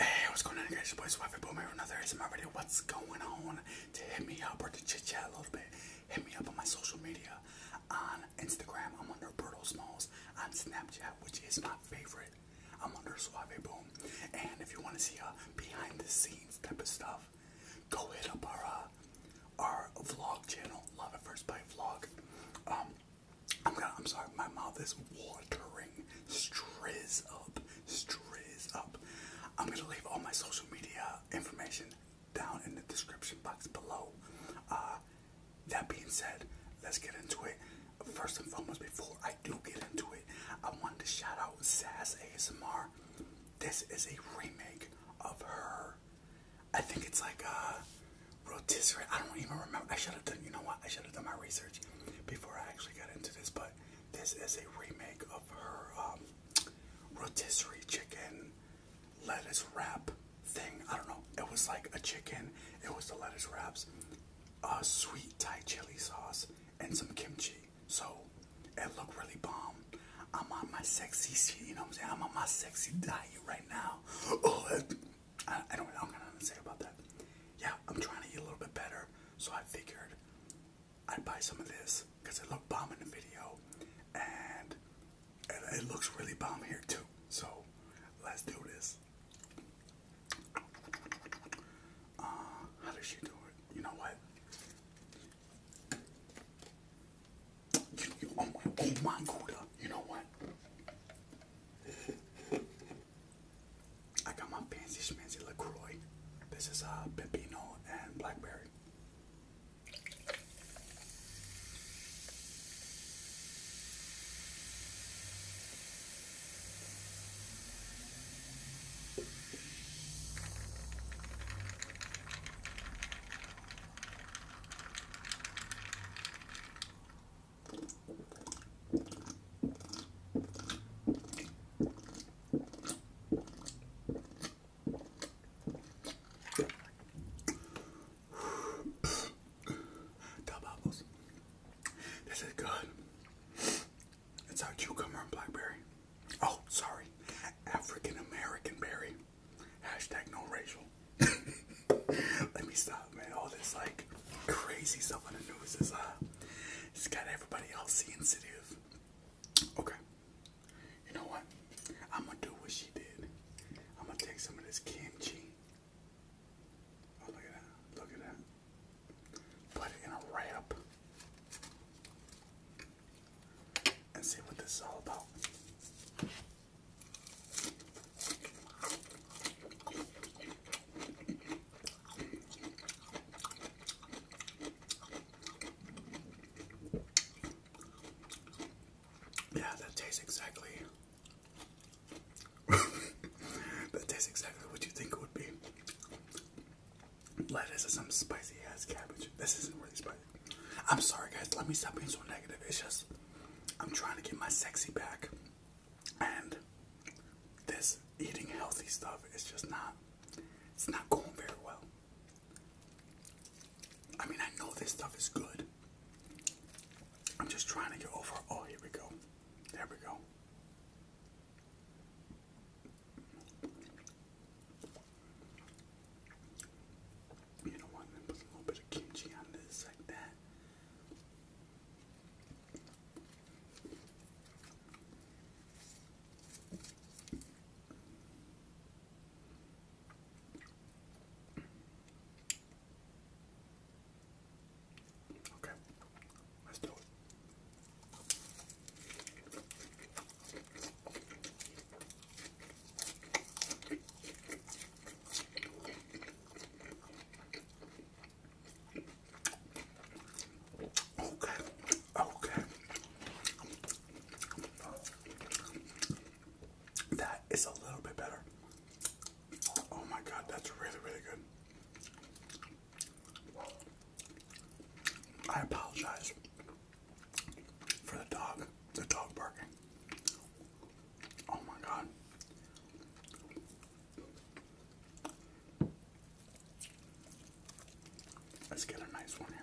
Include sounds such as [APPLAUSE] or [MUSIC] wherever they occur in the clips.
hey, what's going on, guys? Your boys, Waffy Boomer, another ASMR video. What's going on? To hit me up or to chit chat a little bit, hit me up on my social media. On Instagram, I'm under Bertle Smalls. On Snapchat, which is my favorite, I'm under Suave Boom. And if you want to see a uh, behind the scenes type of stuff, go hit up our uh, our vlog channel, Love at First Bite Vlog. Um, I'm gonna, I'm sorry, my mouth is watering. Strizz up, strizz up. I'm gonna leave all my social media information down in the description box below. Uh, that being said, let's get into it. First and foremost, before I do get into it, I wanted to shout out Sass ASMR. This is a remake of her I think it's like a uh, rotisserie. I don't even remember. I should have done, you know what? I should have done my research before I actually got into this. But this is a remake of her um, rotisserie chicken lettuce wrap thing. I don't know. It was like a chicken, it was the lettuce wraps, a uh, sweet Thai chili sauce, and some kimchi. So it looked really bomb. I'm on my sexy, you know what I'm saying? I'm on my sexy diet right now. Oh, I, don't I'm gonna say about that. Yeah, I'm trying to eat a little bit better, so I figured I'd buy some of this because it looked bomb in the video, and it, looks really bomb here too. So let's do this. Uh, how does she do it? You know what? You, you own, you my Gouda. You know what? I got my fancy schmancy LaCroix. This is a uh, Pepino and Blackberry. Tub apples. This is good. It's our cucumber and blackberry. Oh, sorry. African American berry. Hashtag no racial. [LAUGHS] Let me stop, man. All this like crazy stuff on the news is uh, it got everybody all sensitive. Okay, you know what? I'm gonna do what she did. I'm gonna take some of this kimchi. Oh look at that! Look at that! Put it in a wrap and see what this is all about. Yeah, that tastes exactly. [LAUGHS] that tastes exactly what you think it would be. Lettuce and some spicy ass cabbage. This isn't really spicy. I'm sorry, guys. Let me stop being so negative. It's just I'm trying to get my sexy back, and this eating healthy stuff is just not. It's not going very well. I mean, I know this stuff is good. I'm just trying to get over. Oh, here we go. There we go. You know what? And put a little bit of kimchi on this like that. Okay, let's do it. Okay, okay. That is a little bit better. Oh my god, that's really, really good. I apologize for the dog, the dog barking. Oh my god. Let's get a nice one here.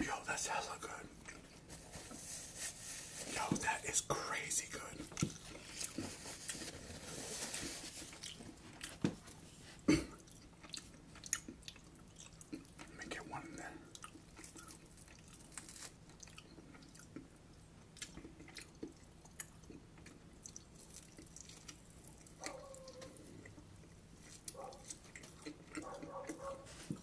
Yo, that's hella good. Yo, that is crazy good. Let me one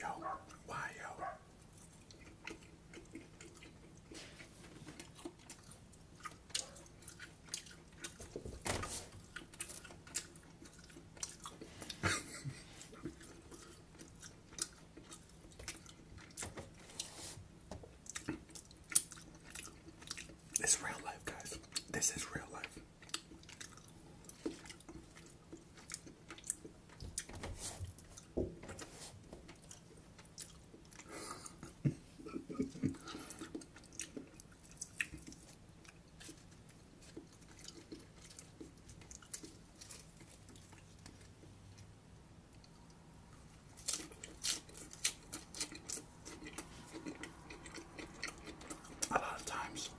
Yo, why yo? It's real life, guys. This is real life. A lot of times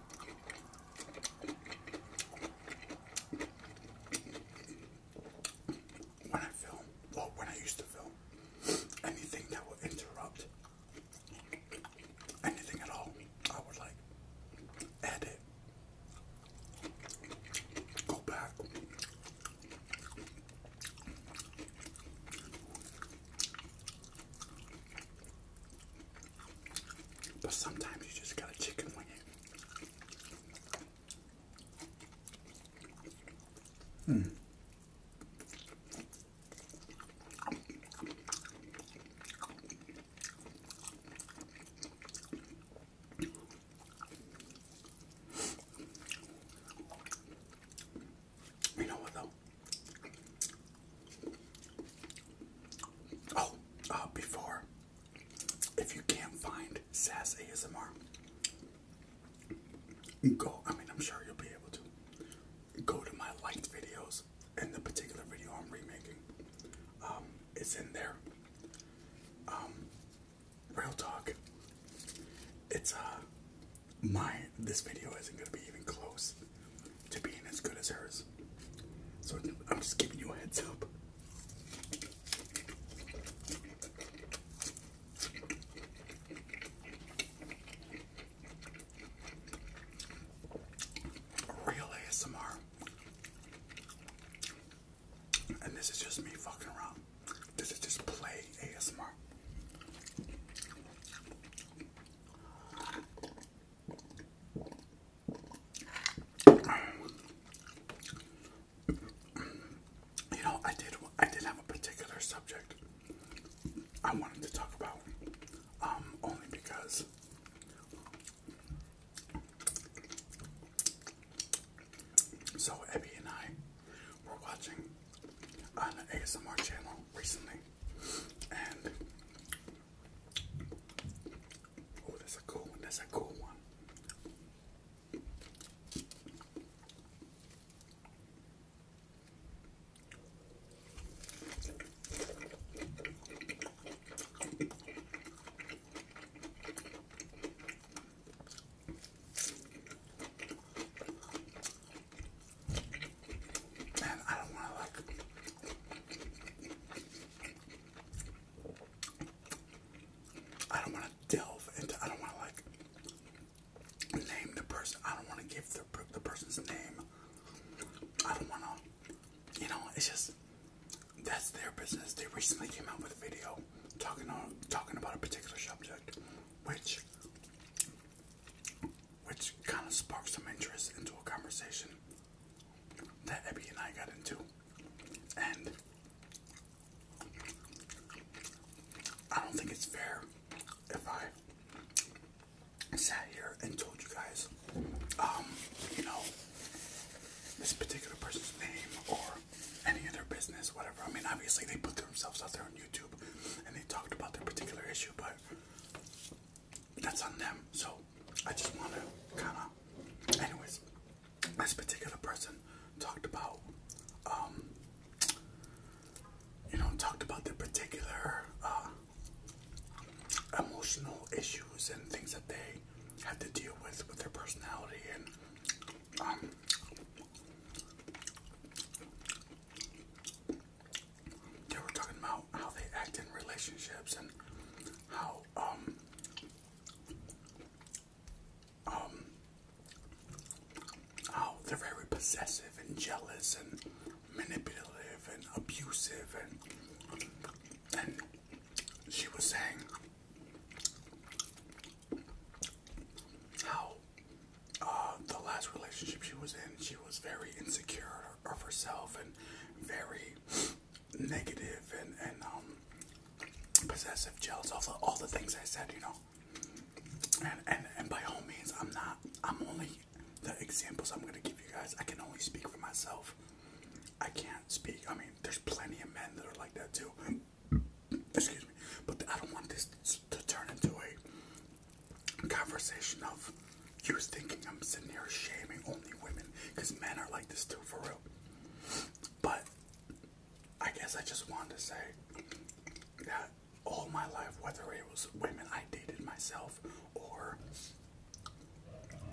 when I film, or when I used to film, anything that would interrupt anything at all, I would like edit, go back. But sometimes you just gotta chicken wing it. Hmm. You know what though? Oh, uh, before, if you can't find SAS ASMR, go. I mean, I'm sure you'll be able to. Go to my liked videos, and the particular video I'm remaking, um, it's in there. Um, real talk. It's uh, my this video isn't going to be even close to being as good as hers. So I'm just giving you a heads up. Real ASMR. And this is just me fucking around. This is just play ASMR. You know, I did. I did have a particular subject I wanted to talk about, um, only because so Abby and I were watching on an ASMR channel recently, and oh, that's a cool one. That's a cool one. And I don't want to like I don't want to delve into I don't want to like name the person. I don't want to give the the person's name. I don't want to you know, it's just that's their business. They recently came out with a video talking on talking about a particular subject which which kind of sparked some interest into a conversation that Abby and I got into. And I don't think it's fair if I sat here and told you guys, um, you know, this particular person's name or any other business, whatever. I mean, obviously, they put themselves out there on YouTube and they talked about their particular issue, but that's on them. So I just want to kind of, anyways, this particular person talked about, um, you know, talked about their particular uh, emotional issues and things that they have to deal with with their personality and um, they were talking about how they act in relationships and how um um how they're very possessive and jealous and manipulative and abusive and and she was saying how um, the last relationship she was in, she was very insecure of herself and very negative and and um, possessive, jealous, all all the things I said, you know. And and and by all means, I'm not. I'm only the examples I'm gonna give you guys. I can only speak for myself. I can't speak. I mean, there's plenty of men that are like that too excuse me, but I don't want this to turn into a conversation of you thinking I'm sitting here shaming only women because men are like this too for real. But I guess I just wanted to say that all my life, whether it was women I dated myself or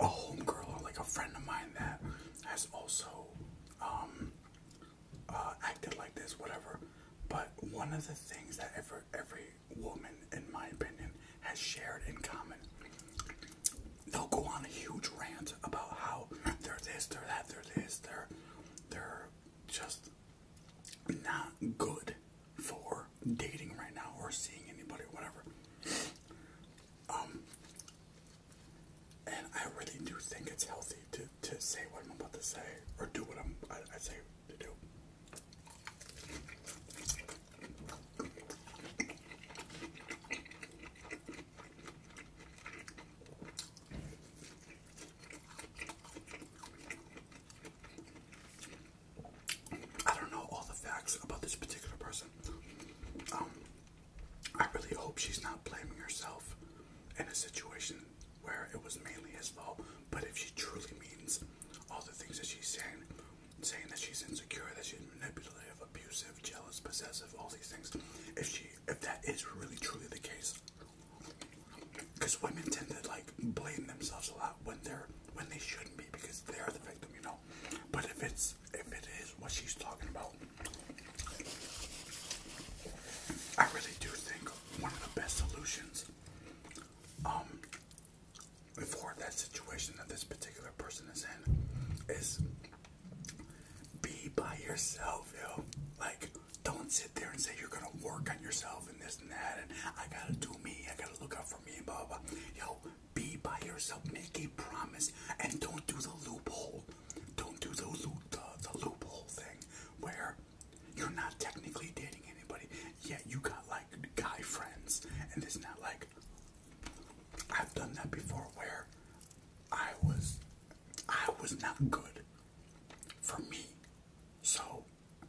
a homegirl or like a friend of mine that has also um, uh, acted like this, whatever. But one of the things that every, every woman, in my opinion, has shared in common, they'll go on a huge rant about how they're this, they're that, they're this, they're, they're just not good for dating right now or seeing anybody, or whatever. Um, and I really do think it's healthy to, say what I'm about to say or do what I'm I, say to do. I don't know all the facts about this particular person. Um, I really hope she's not blaming herself in a situation where it was mainly his fault. But if she truly means all the things that she's saying, saying that she's insecure, that she's manipulative, abusive, jealous, possessive, all these things, if she if that is really truly the case, because women tend to like blame themselves a lot when they're when they shouldn't be because they're the victim, you know. But if it's if it is what she's talking about, I really do think one of the best solutions um, for that situation that this particular person is in is be by yourself, yo. Like, don't sit there and say you're gonna work on yourself and this and that, and I gotta do me, I gotta look out for me, and baba. blah. Yo, be by yourself, make a promise, and don't do the loophole don't do the loophole thing where you're not technically dating anybody, yet you got like guy friends, and it's not like I've done that before where I was I was not good for me. So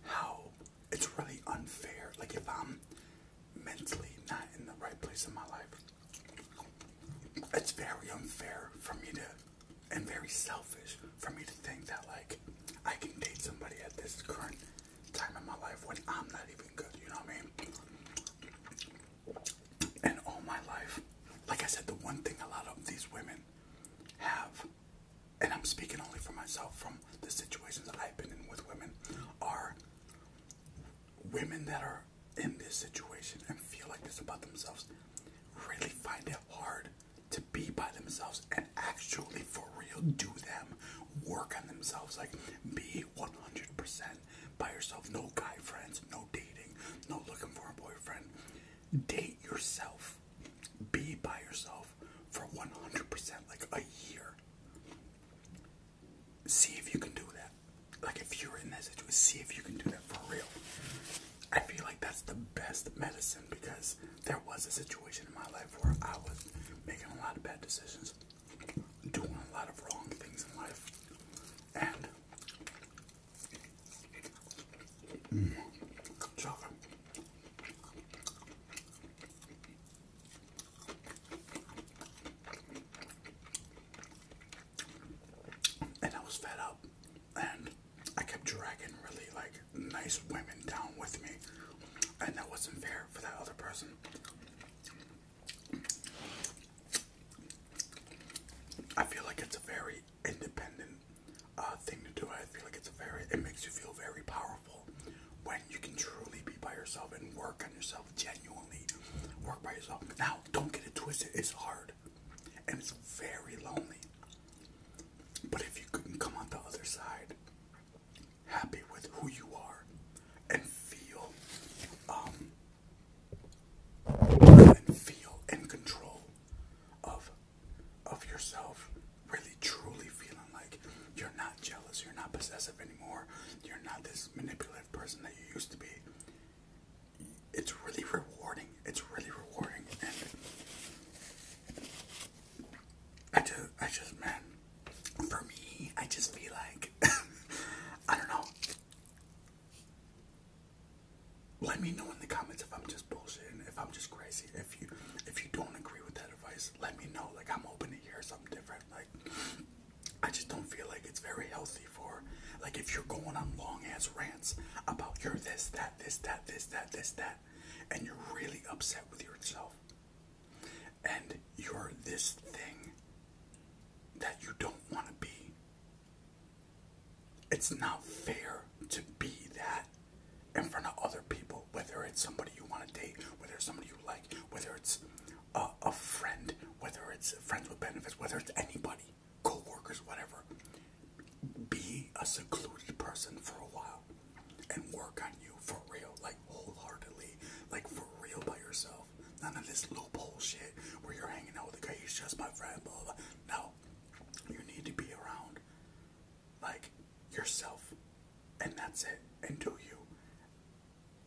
how it's really unfair. Like if I'm mentally not in the right place in my life, it's very unfair for me to and very selfish for me to think that like I can date somebody at this current time in my life when I'm not even good, you know what I mean? And all my life, like I said, the one thing a lot of these women have, and I'm speaking only for myself from the situations I've been in with women, are women that are in this situation and feel like this about themselves really find it hard to be by themselves and actually for real do them work on themselves like be 100% by yourself no guy friends no dating no looking for a boyfriend date yourself be by yourself for 100% like a year see if you can do that like if you were in that situation, see if you can do that for real. I feel like that's the best medicine because there was a situation in my life where I was making a lot of bad decisions, doing a lot of wrong things in life, and mm, chocolate and I was fed up, and I kept dragging really like nice women down with me, and that wasn't fair for that other person. I feel like it's a very independent uh, thing to do. I feel like it's a very it makes you feel very powerful when you can truly be by yourself and work on yourself genuinely. Work by yourself. Now, don't get it twisted. It's hard and it's very lonely. But if you couldn't come on the other side happy with who you are and feel um and feel in control of of yourself really truly feeling like you're not jealous you're not possessive anymore you're not this manipulative person that you used to be it's really rewarding. It's really rewarding, and I just, I just, man, for me, I just feel like, [LAUGHS] I don't know. Let me know in the comments if I'm just bullshitting, if I'm just crazy, if you, if you don't agree with that advice, let me know. Like I'm open to hear something different. Like. I just don't feel like it's very healthy for like if you're going on long ass rants about your this, that, this, that, this, that, this, that, and you're really upset with yourself and you're this thing that you don't want to be. It's not fair to be that in front of other people, whether it's somebody you want to date, whether it's somebody you like, whether it's a, a friend, whether it's friends with benefits, whether it's anybody co-workers, whatever, be a secluded person for a while and work on you for real, like wholeheartedly, like for real by yourself. None of this loophole shit where you're hanging out with a guy, he's just my friend, blah, blah. No. You need to be around, like, yourself. And that's it. And do you.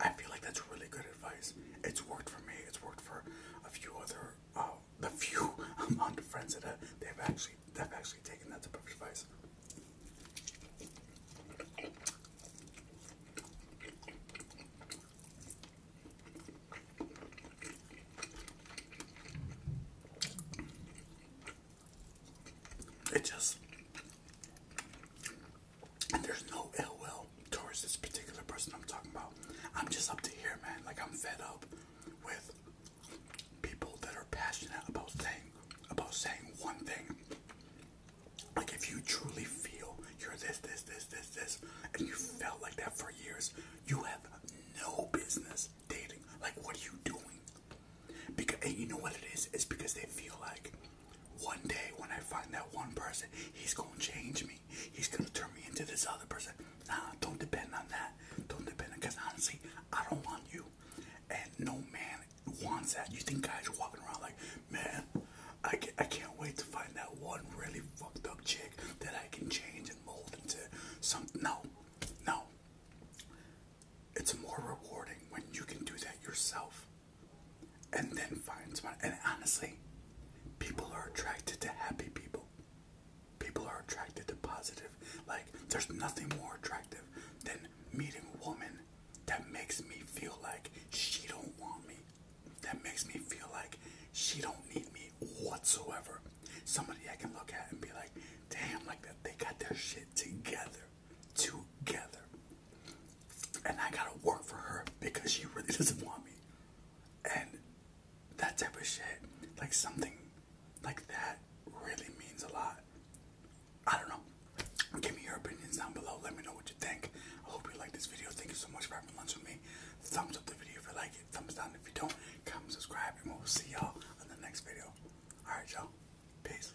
I feel like that's really good advice. It's worked for me. It's worked for a few other, the uh, few [LAUGHS] amount of friends that I, uh, they've actually they've actually taken that type of advice. It just and there's no ill will towards this particular person I'm talking about. I'm just up to here, man. Like, I'm fed up with people that are passionate about saying, about saying one thing. Like, if you truly feel you're this, this, this, this, this, and you felt like that for years, you have no business dating. Like, what are you doing? Because, and you know what it is? It's because they feel like one day when I find that one person, he's gonna change me. He's gonna turn me into this other person. Nah, don't depend on that. Don't depend on because honestly, I don't want you. And no man wants that. You think guys are walking around like, man, I, can, I can't wait to find that one really fucked up chick that I can change and mold into something. No, no. It's more rewarding when you can do that yourself and then finds one. And honestly, people are attracted to happy people. People are attracted to positive. Like, there's nothing more attractive than meeting a woman that makes me feel like she don't want me. That makes me feel like she don't need me whatsoever. Somebody I can look at and be like, damn, like that they got their shit together. Together and I gotta work for her because she really [LAUGHS] doesn't want me. And that type of shit, like something like that, really means a lot. I don't know. Give me your opinions down below. Let me know what you think. I hope you like this video. Thank you so much for having lunch with me. Thumbs up the video if you like it. Thumbs down if you don't. Comment, subscribe, and we'll see y'all in the next video. Alright, y'all. Peace.